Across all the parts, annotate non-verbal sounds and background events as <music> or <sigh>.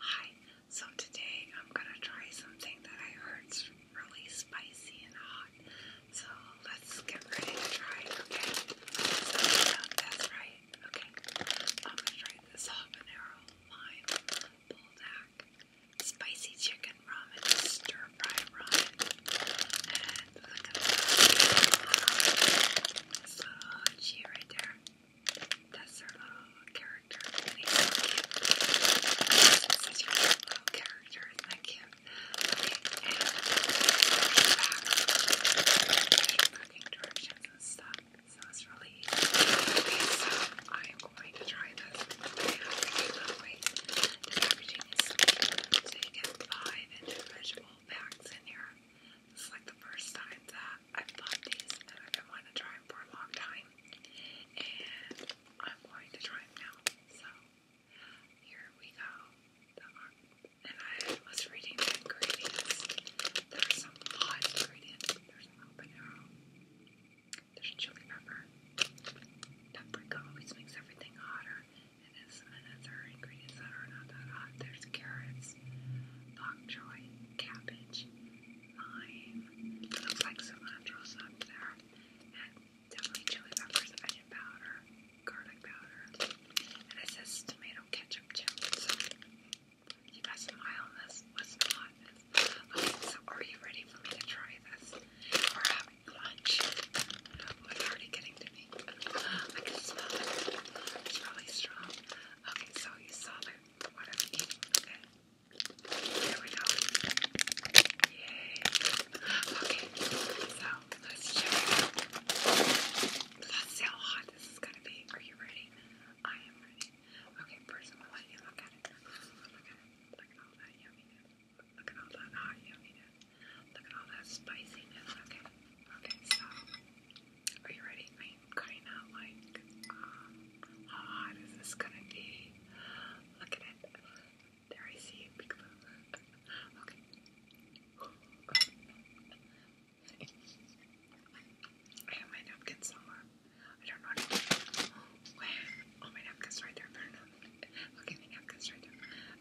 Hi, so today I'm gonna try something that I heard's really spicy and hot. So let's get ready to try okay? that's right, okay. I'm gonna try this habanero lime buldak spicy chicken ramen stir fry ramen. look at that. It's cheese right there. That's our little character. Such a cute little character. Isn't Okay, and directions and stuff. So it's really easy. Okay, so I am going to try this. Okay, I cannot wait. The packaging is So you get five individual packs in here. This like the first time that i bought these and I've been wanting to try them for a long time. And I'm going to try them now. So here we go. and I was reading the ingredients. There's some odd ingredients. There's an There's chili pepper. Paprika always makes everything hotter. And there's another ingredients that are not that hot. There's carrots, bok choy, cabbage, lime, looks like cilantro stuck there, definitely chili peppers, onion powder, garlic powder, and it says tomato ketchup too. you guys smile on this, what's not so are you ready for me to try this? We're having lunch. Oh, it's already getting to me. <gasps> I can smell it. It's really strong. Okay, so you saw the okay? There we go. Yay. Okay, so let's check Let's see how hot this is gonna be. Are you ready? I am ready. Okay, first I'm gonna let you look at it. Look at all that yumminess. Look at all that hot yumminess. Look at all that spiciness. Okay. Okay, so are you ready? I kind of like, um, how hot is this gonna be? Look at it. There I see it. Okay. I have my napkin somewhere. I don't know what Oh, my napkin's right there. Look my napkin's right there.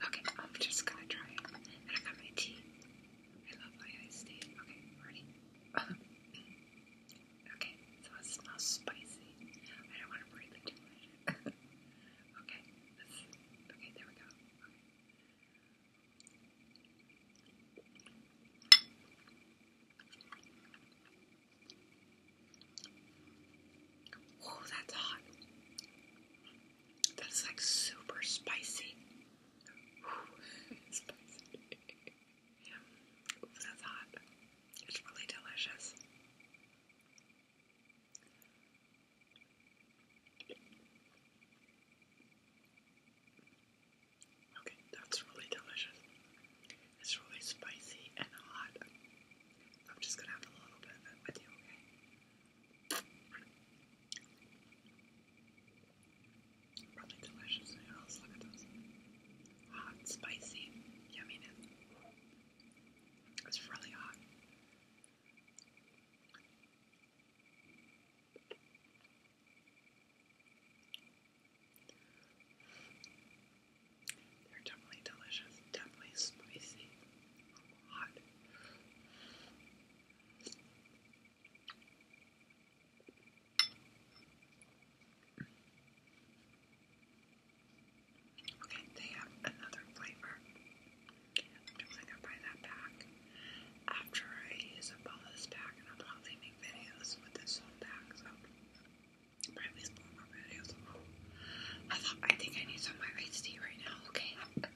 Okay, I'm just gonna try it. And I got my tea. I love my iced tea. Okay, ready? <laughs> Okay, so it smells spicy. I don't want to breathe too much. <laughs> okay, okay, there we go. Okay. that's hot. That's like super spicy. <laughs> <laughs> Yeah. Oops, that's hot. It's really delicious. Okay, that's really delicious. It's really spicy and hot. I'm just gonna have a little bit of it with you, okay? Really delicious Look at those. Hot, spicy, yumminess. It's really hot. They're definitely delicious, definitely spicy, hot. Okay, they have another flavor. I'm definitely gonna buy that pack. After I use up all this pack, and I'm probably make videos with this whole pack, so probably spoil more videos. I thought I think I need some of tea right now. Okay, I'm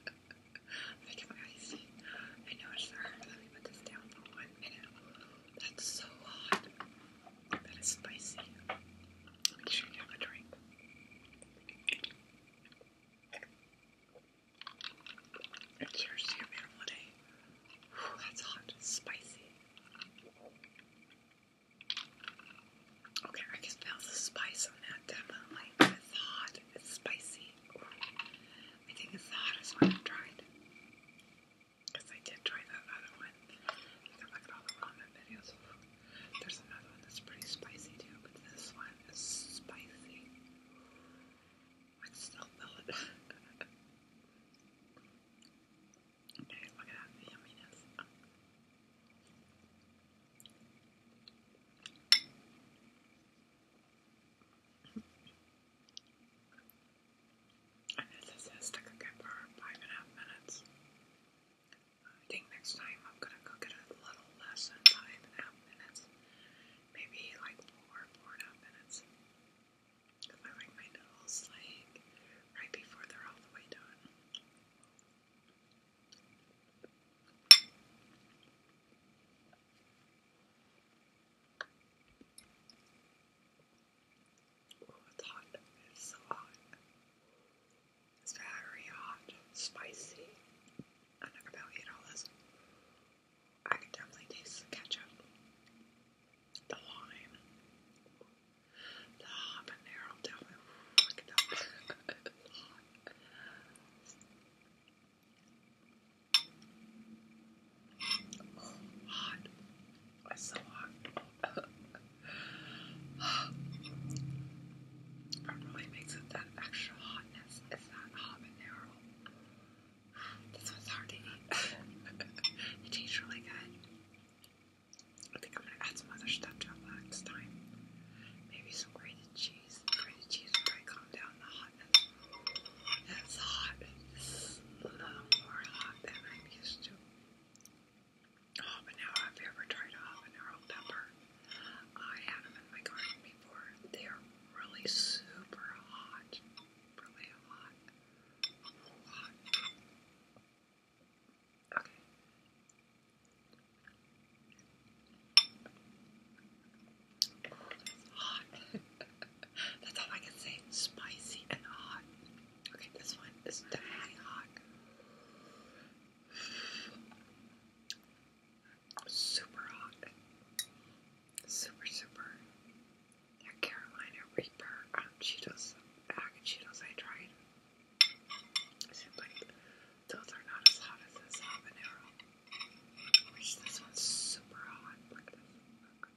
<laughs> making my tea. I noticed that. Let me put this down for one minute. That's so hot. That is spicy. Make sure you have a drink. And your beautiful day. that's hot. Spicy. Okay, I can smell the spice on that definitely. It's hot. It's spicy. I think it's the hottest one I've tried. Because I did try that other one. You look at all the ramen videos. There's another one that's pretty spicy too, but this one is spicy. I still feel <laughs> it. okay, look at that, yumminess. I it this to cook for five and a half minutes. I think next time I'm gonna cook it a little less than five and a half minutes. Maybe like four, four and a half minutes. I like my noodles like right before they're all the way done it's hot. It's so hot. It's very hot, spicy. I don't know about $8. I can definitely taste the ketchup, the lime, the habanero. <laughs> Oh, hot. It's so hot. What <sighs> really makes it that extra hotness is that habanero. This one's hard to eat. <laughs> it tastes really good. I think I'm gonna add some other stuff to it next time. Maybe some grated cheese. Grated cheese will probably calm down the hotness. That's hot. a little more hot than I'm used to. Half an hour. I've ever tried habanero pepper. I had them in my garden before. They're really super hot. Really hot. Hot. Okay. Hot. <laughs> <laughs> That's all I can say. Spicy and hot. Okay, this one is definitely hot. Super hot. Super, super. That Carolina Reaper um, Cheetos, bag of Cheetos I tried. Like, those are not as hot as this habanero. Which this one's super hot. Look at this. Look.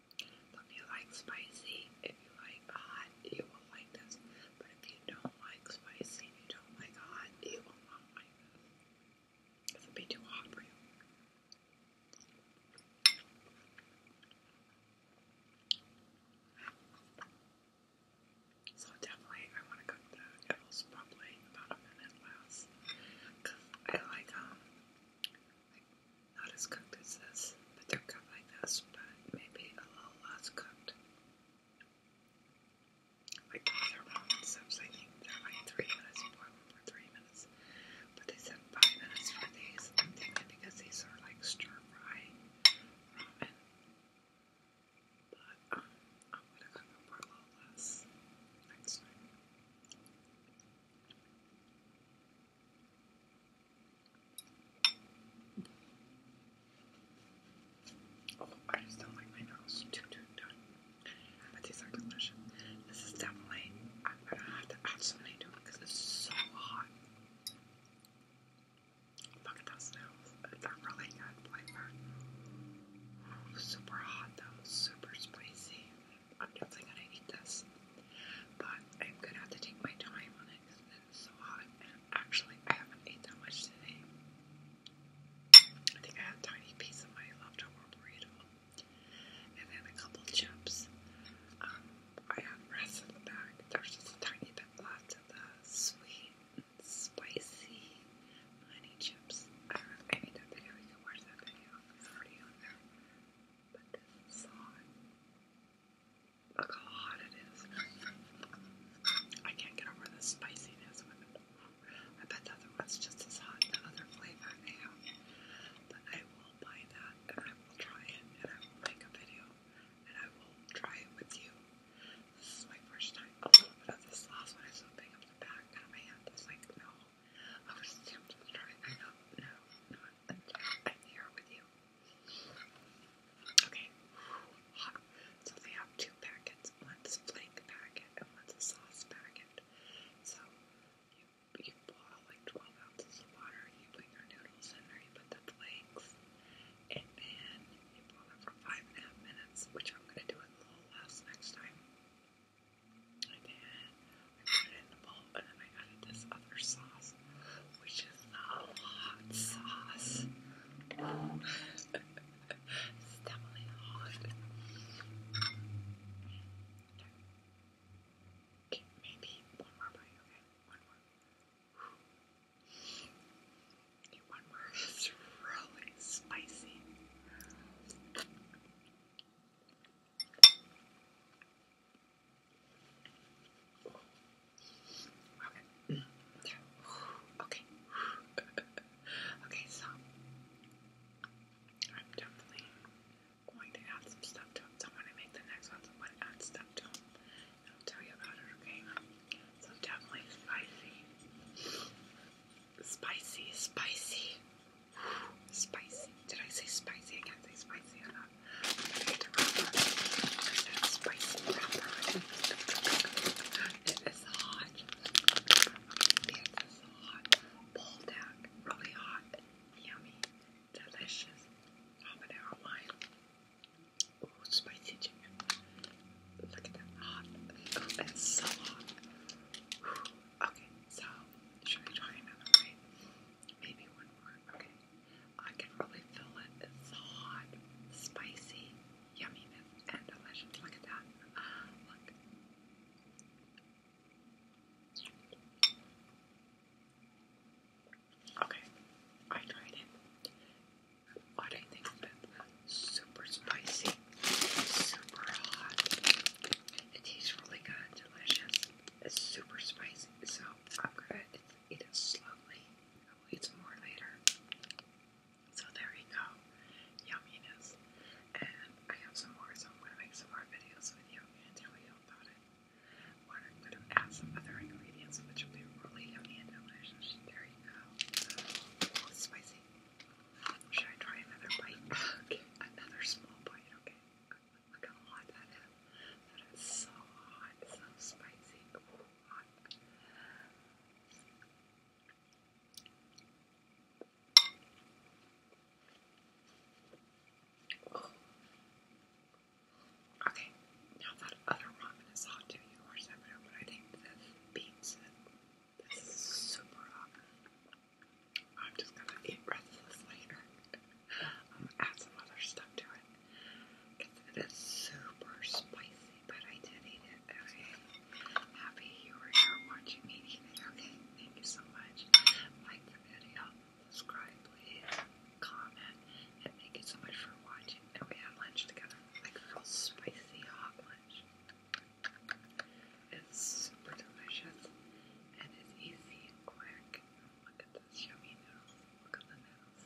So if you like spicy, if you like hot, you will like this. But if you don't like spicy, if you don't like hot, you will not like this. It would be too hot for you. So definitely, I want to cook that. It was about a minute less, I like um, not as cooked as this, but they're cooked like this, but maybe a little less cooked. Like they're I think they're like three minutes, boil them for three minutes. But they said five minutes for these. I'm thinking because these are like stir fry ramen. But um, I'm gonna cook them for a little less next time. Oh, I just don't like my noodles too, too done. But these are delicious. This is definitely, I'm gonna have to add something to it because it's so hot. Look at those noodles. They're really good flavor. Oh, super hot though, super spicy. I'm definitely gonna eat this, but I'm gonna have to take my time on it because it is so hot. And actually, I haven't eaten that much today. I think I had a tiny piece of my leftover burrito, and then a couple chips. Um, I have rest in the bag. There's a tiny bit left of the sweet, spicy honey chips. Uh, I don't video you can watch that video. It's already on there. But this is hot. Look how hot it is. I can't get over the spiciness I bet the other one's just as hot, the other flavor they have. But I will buy that and I will try it and I will make a video and I will try it with you. This is my first time. A oh, this last one is opening up the back out I was like, no. I was tempted to I don't Not here with you. Okay. So they have two packets. One's a flake packet and one's a sauce packet. So you, you boil like 12 ounces of water. You put your noodles in there. You put the flakes. And you boil it for five and a half minutes, which I'm going to do it a little less next time. And then I put it in the bowl and then I added this other sauce, which is a hot sauce. it's definitely hot. Okay, maybe one more bite, okay? One more. one more. It's really spicy. Okay. Okay. okay, so I'm definitely going to add some stuff to it. So when I make the next one, so I'm going to add stuff to it. And I'll tell you about it, okay? So definitely spicy. Spicy, spicy. Spicy. Did I say spicy? I can't say spicy or not. spicy wrapper. It is hot. It is hot. Poldak. Really hot. Yummy. Delicious. Habanero wine. Ooh, spicy chicken. Look at that hot. Oh, so hot. Okay, so should I try another way? Maybe one more. Okay. I can really feel it. It's hot, spicy, yummy, and delicious. Look at that. look. Okay, I tried it. What I think super spicy, super hot. It tastes really good, delicious. It's super spicy, so I'm gonna eat it slowly. I'll eat some more later. So there you go, yumminess. And I have some more, so I'm gonna make some more videos with you and tell you about it. I'm gonna add some other ingredients, which will be really yummy and There you go. spicy. Should I try another bite? <laughs> okay, another small bite. Okay. Look how hot that is. That is so hot, so spicy. Okay, now that other ramen is hot too, you course I know, but I think this beats it. This is super hot. I'm just gonna eat restless later. I'm gonna add some other stuff to it. Because it is super spicy, but I did eat it. Okay. Happy you were here watching me eat it. Okay, thank you so much. Like the video, subscribe, please, comment, and thank you so much for watching. And we had lunch together. Like real spicy hot lunch. It's super delicious and it's easy and quick. Look at this yummy noodles. Look at the noodles.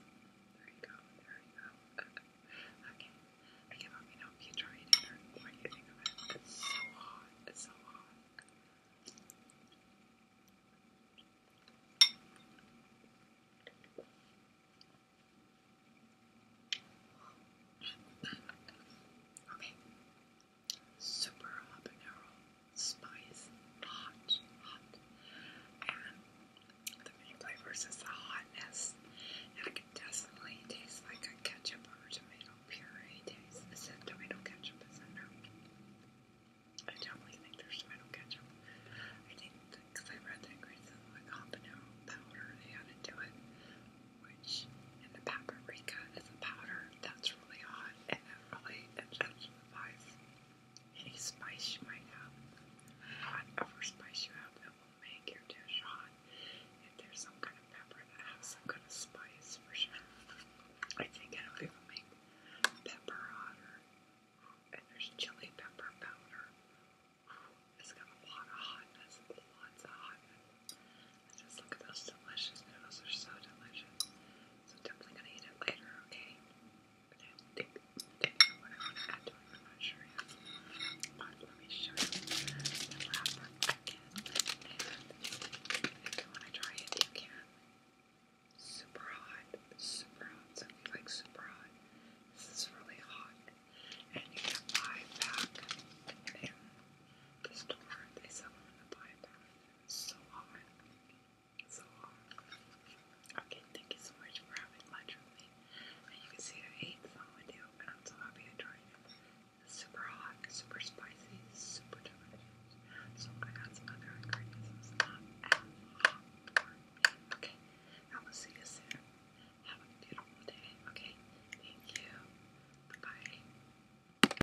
There you go. There you go. okay. I give up. You know, if you try it in there, what you think of It's so hot. It's so hot. Okay, super habanero spice, hot, hot, and the main flavors is the hotness, I can definitely taste like a ketchup or tomato puree taste. Is it tomato ketchup? Is it no? I definitely think there's tomato ketchup. I think because I read that ingredients like habanero powder they added to it, which in the paprika is a powder that's really hot and then really any spice you have. Hot spice you have that will make your dish hot. If there's some kind of pepper that has some kind of spice for sure. I think it'll be able make pepper hotter. And there's chili pepper powder. It's got a lot of hotness, lots of hotness. Just look at those delicious noodles. are so delicious. So definitely gonna eat it later, okay? But I think I know what I want to add to I'm not sure yet. But let me show you the wrapper again. And if you want to try it, you can. Super hot. Super hot. Something like super hot. This is really hot. And you can buy back in the store. They sell them in the buy back so hard. So hard. Okay, thank you so much for having lunch with me. And you can see I ate some with you, and I'm so happy I tried it. super hot, super spicy, super delicious. So I got some other ingredients. Okay, I will see you soon. Have a beautiful day. Okay, thank you. bye.